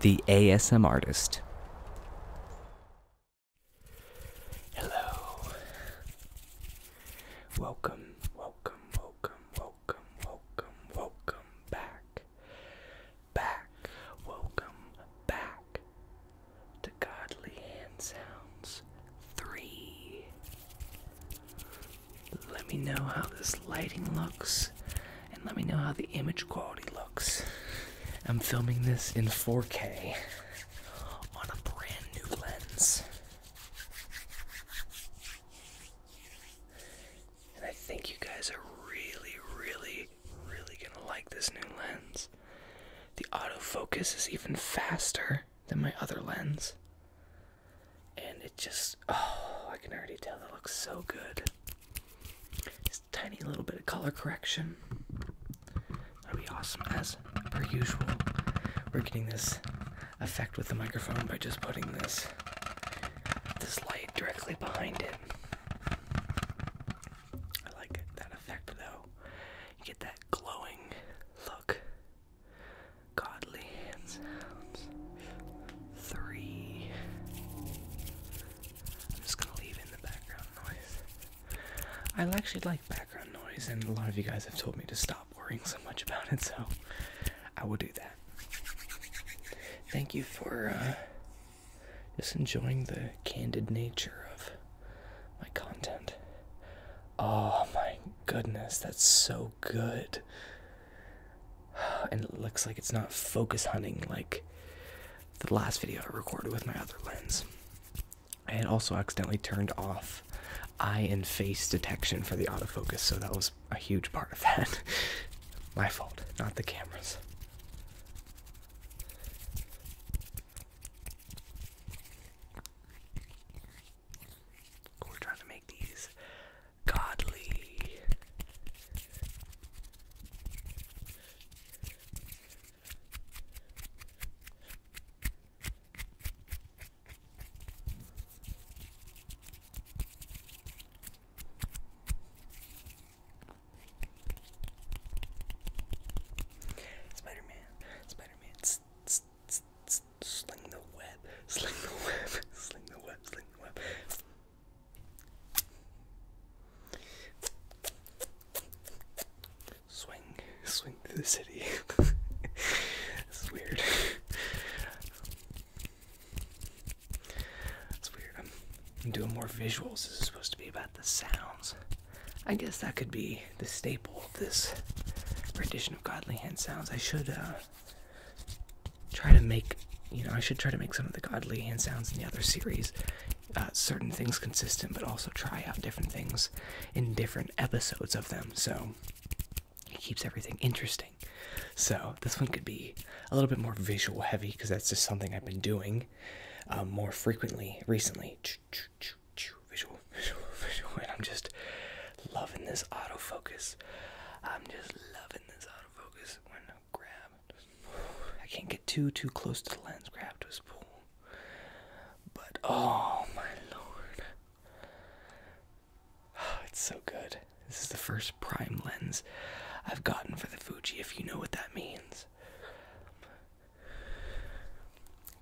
The ASM Artist. Hello. Welcome, welcome, welcome, welcome, welcome, welcome back. Back. Welcome back to Godly Hand Sounds 3. Let me know how this lighting looks and let me know how the image quality looks. I'm filming this in 4K on a brand new lens. And I think you guys are really, really, really gonna like this new lens. The autofocus is even faster than my other lens and it just oh, I can already tell that looks so good. Just a tiny little bit of color correction. That'll be awesome as per usual. We're getting this effect with the microphone by just putting this this light directly behind it. I like that effect though. You get that glowing look. Godly hands. sounds three. I'm just gonna leave in the background noise. I actually like background noise, and a lot of you guys have told me to stop worrying so much about it, so I will do that. Thank you for uh, just enjoying the candid nature of my content. Oh my goodness, that's so good. and it looks like it's not focus hunting like the last video I recorded with my other lens. I had also accidentally turned off eye and face detection for the autofocus, so that was a huge part of that. my fault, not the cameras. We're trying to make these godly. Spider-Man, sling the web, sling the web, sling the web, sling the web. Swing, swing through the city. this is weird. It's weird. I'm, doing more visuals. This is supposed to be about the sounds. I guess that could be the staple of this rendition of Godly Hand Sounds. I should uh, try to make you know I should try to make some of the godly hand sounds in the other series uh, certain things consistent, but also try out different things in different episodes of them. So it keeps everything interesting. So this one could be a little bit more visual heavy because that's just something I've been doing um, more frequently recently. Visual, visual, visual, and I'm just loving this autofocus. I'm just loving this autofocus focus I can't get too too close to the lens grab to his pool. But oh my lord. Oh, it's so good. This is the first prime lens I've gotten for the Fuji, if you know what that means.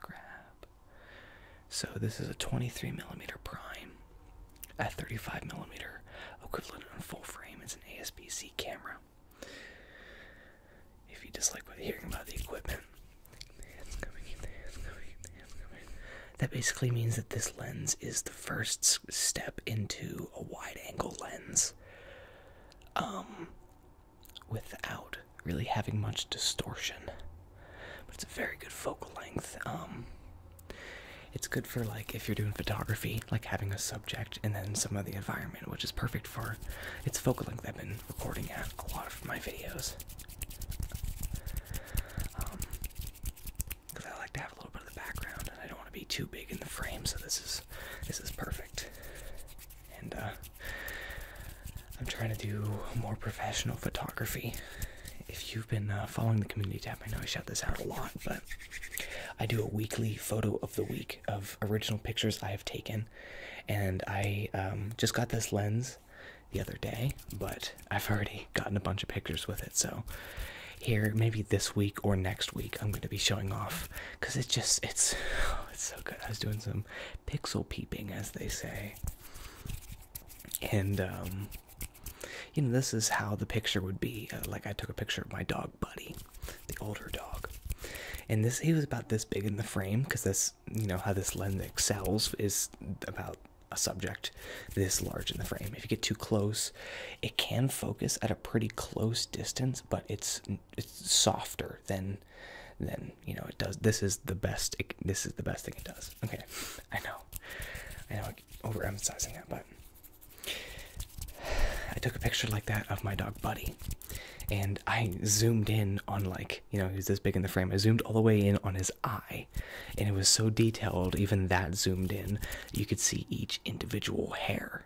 Grab. So this is a 23 millimeter prime. At 35 millimeter equivalent on full frame, it's an ASPC camera. If you dislike what hearing about the equipment, That basically means that this lens is the first step into a wide-angle lens, um, without really having much distortion. But it's a very good focal length. Um, it's good for like if you're doing photography, like having a subject and then some of the environment, which is perfect for its focal length. I've been recording at a lot of my videos because um, I like to have a little bit of the background, and I don't want to be too big in the frame. So this is this is perfect. And uh, I'm trying to do more professional photography if you've been uh, following the community tab, I know I shout this out a lot, but I do a weekly photo of the week of original pictures I have taken, and I um, just got this lens the other day, but I've already gotten a bunch of pictures with it, so here maybe this week or next week I'm going to be showing off because it's just it's it's so good. I was doing some pixel peeping, as they say and um, you know this is how the picture would be. Uh, like I took a picture of my dog Buddy, the older dog, and this he was about this big in the frame because this you know how this lens excels is about a subject this large in the frame. If you get too close, it can focus at a pretty close distance, but it's it's softer than than you know it does. This is the best. this is the best thing it does. Okay, I know, I know not overemphasizing that, but I took a picture like that of my dog Buddy, and I zoomed in on like you know he's this big in the frame. I zoomed all the way in on his eye, and it was so detailed. Even that zoomed in, you could see each individual hair,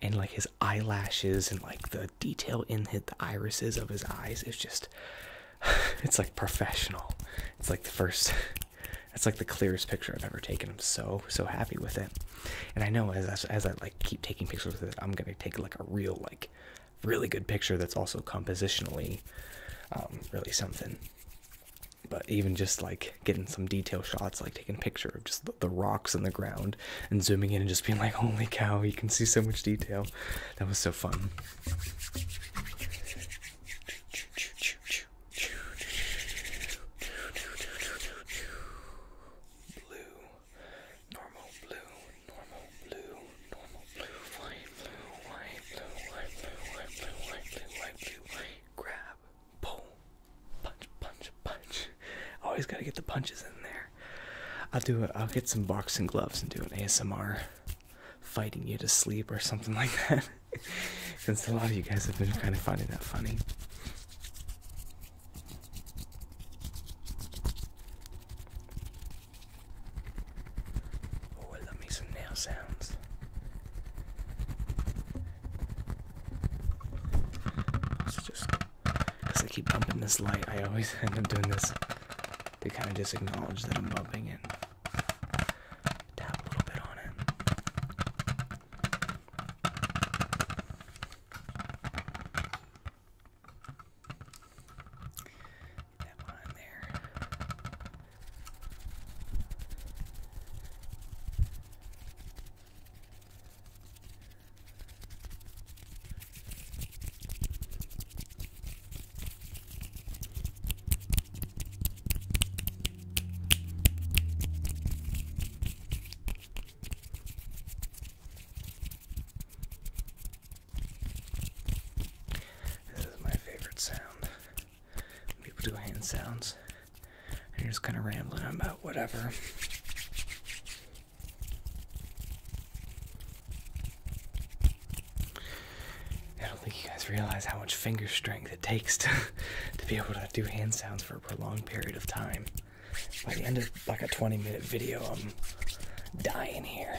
and like his eyelashes and like the detail in his, the irises of his eyes. It's just, it's like professional. It's like the first that's like the clearest picture I've ever taken. I'm so so happy with it, and I know as as, I like keep taking pictures with it, I'm gonna take like a real like really good picture that's also compositionally um, really something. But even just like getting some detail shots, like taking a picture of just the, rocks and the ground and zooming in and just being like, holy cow, you can see so much detail. That was so fun. Blue, normal blue, normal blue, normal blue, white blue, white blue, white blue, white blue, white blue, white grab, pull, punch, punch, punch. Always gotta get the punches in there. I'll do it. I'll get some boxing gloves and do an ASMR fighting you to sleep or something like that. Since a lot of you guys have been kind of finding that funny. Oh, I love me some nail sounds. just because I keep bumping this light, I always end up doing this to kind of just acknowledge that I'm bumping it. Tap a little bit on it. Get that one on there. This is my favorite sound. People do hand sounds. And you're just kind of rambling about whatever. I don't think you guys realize how much finger strength it takes to, to be able to do hand sounds for a prolonged period of time. By the end of like a 20 minute video, I'm dying here.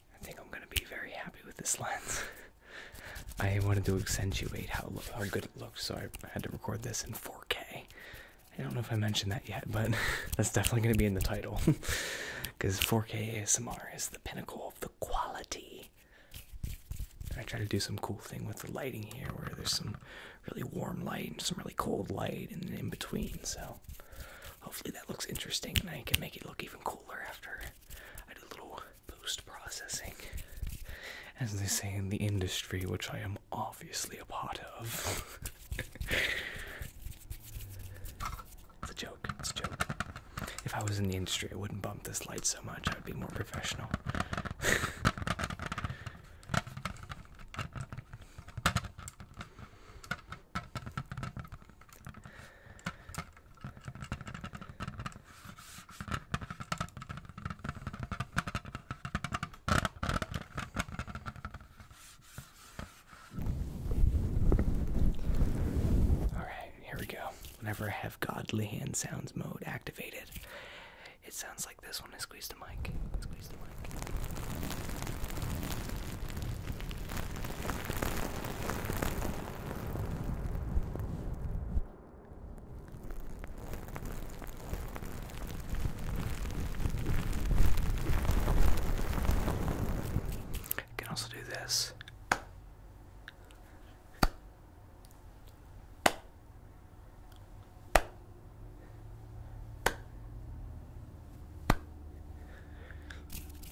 I think I'm gonna be very happy with this lens. I wanted to accentuate how, how good it looked, so I had to record this in 4K. I don't know if I mentioned that yet, but that's definitely going to be in the title. Because 4K ASMR is the pinnacle of the quality. I try to do some cool thing with the lighting here, where there's some really warm light and some really cold light, and in between, so hopefully that looks interesting and I can make it look even cooler after I do a little post processing. As they say in the industry, which I am obviously a part of. it's a joke, it's a joke. If I was in the industry, I wouldn't bump this light so much, I would be more professional. Alright, here we go. Whenever I have godly hand sounds mode activated, it sounds like this one. I squeeze the mic. Squeeze the mic. You can also do this.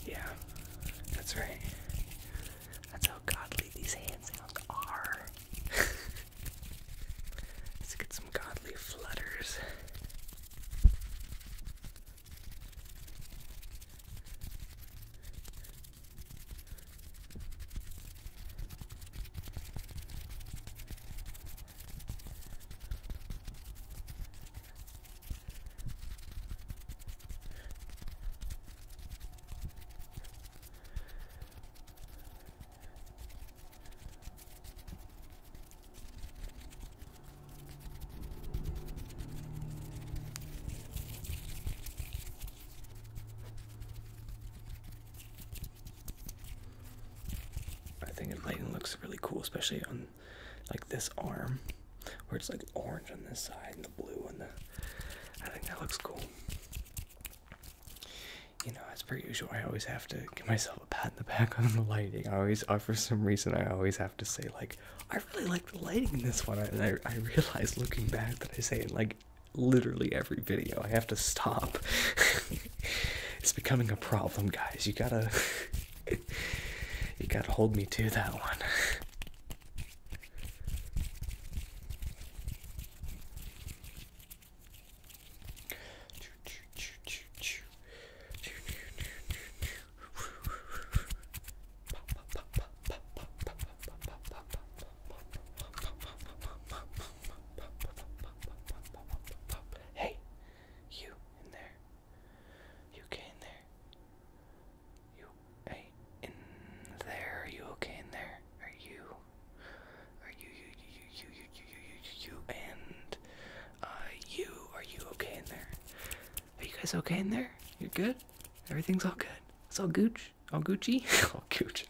Yeah, that's right. That's how godly these hands are. Let's get some godly flutters. I think the looks really cool, especially on like this arm where it's like orange on this side and the blue on the I think that looks cool. You know, as per usual, I always have to give myself a pat in the back on the lighting. I always, uh, for some reason, I always have to say, like, I really like the lighting in this one. And I, I realize looking back that I say it, like, literally every video. I have to stop. it's becoming a problem, guys. You gotta, you gotta hold me to that one. Hey, you in there. You okay in there? You hey in there? Are you okay in there? Are you? Are you you you you you you you you, you and uh you? Are you okay in there? Are you guys okay in there? You're good. Everything's all good. It's all gooch. All Gucci. all gooch.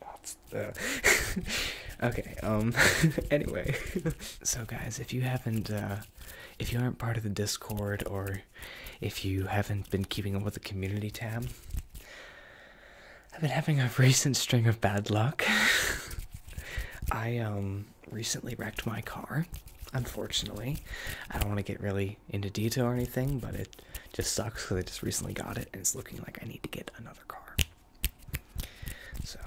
okay. Um. anyway, so guys, if you haven't if you aren't part of the Discord or if you haven't been keeping up with the community tab, I've been having a recent string of bad luck. I um recently wrecked my car. Unfortunately, I don't want to get really into detail or anything, but it just sucks because I just recently got it and it's looking like I need to get another car. So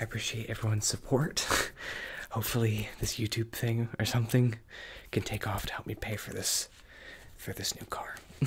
I appreciate everyone's support. Hopefully, this YouTube thing or something can take off to help me pay for this for this new car.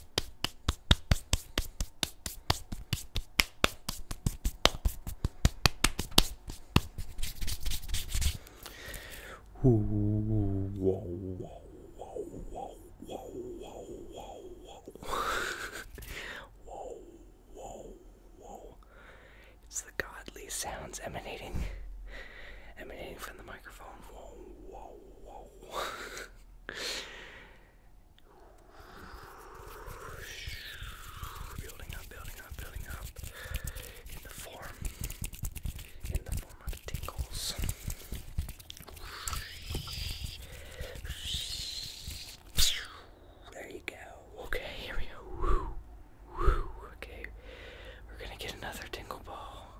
It's the godly sounds emanating emanating from the microphone. Whoa, whoa, whoa building up, building up, building up in the form in the form of tingles. There you go. Okay, here we go. Okay, we're gonna get another tingle ball.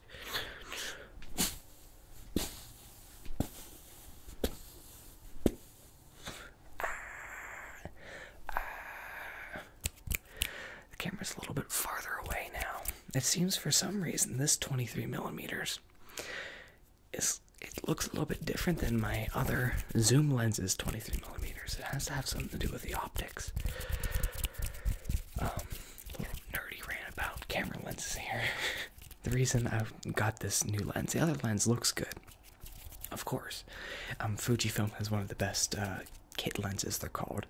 this. Ah, ah. The camera's a little bit farther away now. It seems for some reason this 23 millimeters is it looks a little bit different than my other zoom lenses 23 millimeters. It has to have something to do with the optics. Um, nerdy rant about camera lenses here. the reason I've got this new lens, the other lens looks good, of course. Um, Fujifilm has one of the best uh, kit lenses, they're called.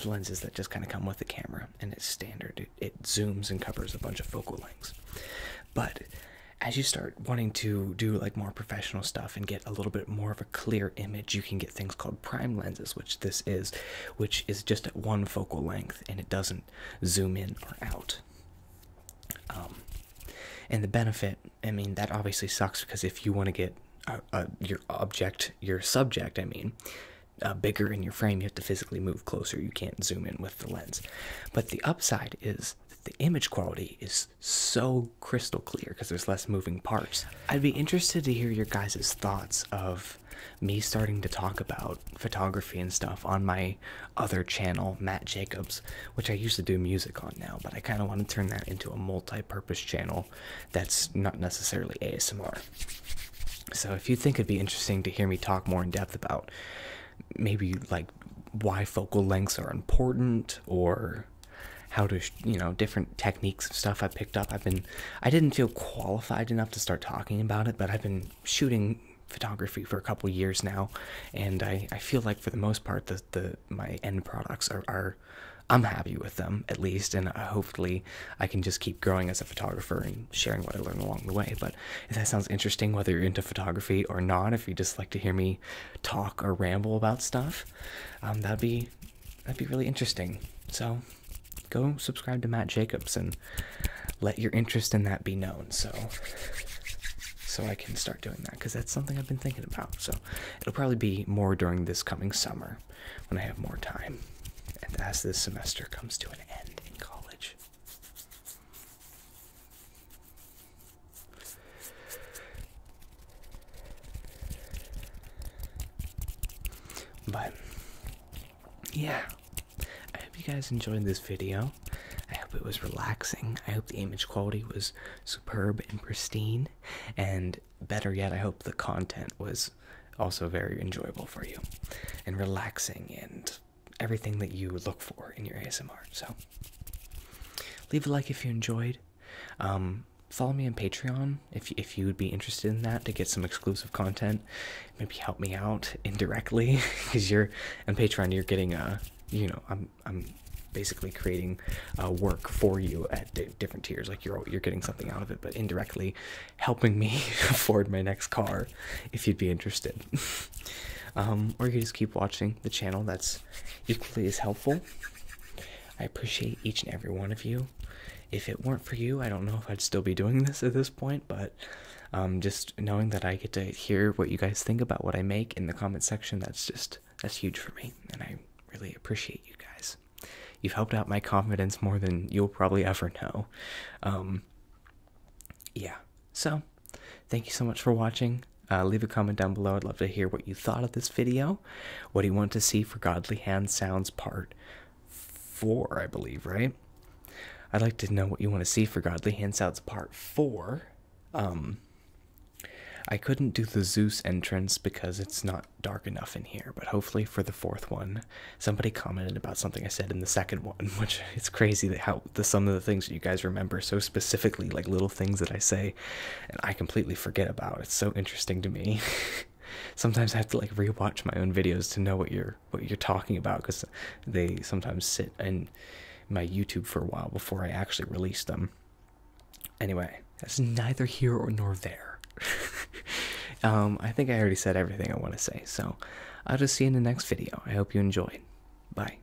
The lenses that just kind of come with the camera, and it's standard. It, it zooms and covers a bunch of focal lengths. But as you start wanting to do like more professional stuff and get a little bit more of a clear image, you can get things called prime lenses, which this is, which is just at one focal length and it doesn't zoom in or out. Um, and the benefit, I mean, that obviously sucks because if you want to get uh, uh, your object, your subject, I mean, uh, bigger in your frame, you have to physically move closer. You can't zoom in with the lens. But the upside is that the image quality is so crystal clear because there's less moving parts. I'd be interested to hear your guys' thoughts of me starting to talk about photography and stuff on my other channel, Matt Jacobs, which I used to do music on now, but I kind of want to turn that into a multi purpose channel that's not necessarily ASMR. So if you think it'd be interesting to hear me talk more in depth about maybe like why focal lengths are important or how to, you know, different techniques and stuff I have picked up. I've been I didn't feel qualified enough to start talking about it, but I've been shooting photography for a couple years now, and I, I feel like for the most part the the my end products are, I'm happy with them at least, and uh, hopefully I can just keep growing as a photographer and sharing what I learn along the way. But if that sounds interesting, whether you're into photography or not, if you just like to hear me talk or ramble about stuff, um, that'd be that'd be really interesting. So go subscribe to Matt Jacobs and let your interest in that be known. So so I can start doing that because that's something I've been thinking about. So it'll probably be more during this coming summer when I have more time and as this semester comes to an end in college. But yeah, I hope you guys enjoyed this video. I hope it was relaxing. I hope the image quality was superb and pristine. And better yet, I hope the content was also very enjoyable for you and relaxing and everything that you look for in your ASMR. So, leave a like if you enjoyed. Um, follow me on Patreon if, if you would be interested in that to get some exclusive content maybe help me out indirectly because you're on patreon you're getting a uh, you know i'm i'm basically creating a uh, work for you at different tiers like you're you're getting something out of it but indirectly helping me afford my next car if you'd be interested um, or you can just keep watching the channel that's equally as helpful i appreciate each and every one of you if it weren't for you, I don't know if I'd still be doing this at this point, but um, just knowing that I get to hear what you guys think about what I make in the comment section, that's just that's huge for me, and I really appreciate you guys. You've helped out my confidence more than you'll probably ever know. Um, yeah, so thank you so much for watching. Uh, leave a comment down below. I'd love to hear what you thought of this video. What do you want to see for Godly Hands Sounds Part four, I believe, right? I'd like to know what you want to see for Godly Handouts Part Four. Um, I couldn't do the Zeus entrance because it's not dark enough in here, but hopefully for the fourth one, somebody commented about something I said in the second one, which it's crazy that how the some of the things that you guys remember so specifically, like little things that I say, and I completely forget about. It's so interesting to me. sometimes I have to like rewatch my own videos to know what you're what you're talking about because they sometimes sit in my YouTube for a while before I actually release them. Anyway, that's neither here nor there. um, I think I already said everything I want to say, so I'll just see you in the next video. I hope you enjoyed. Bye.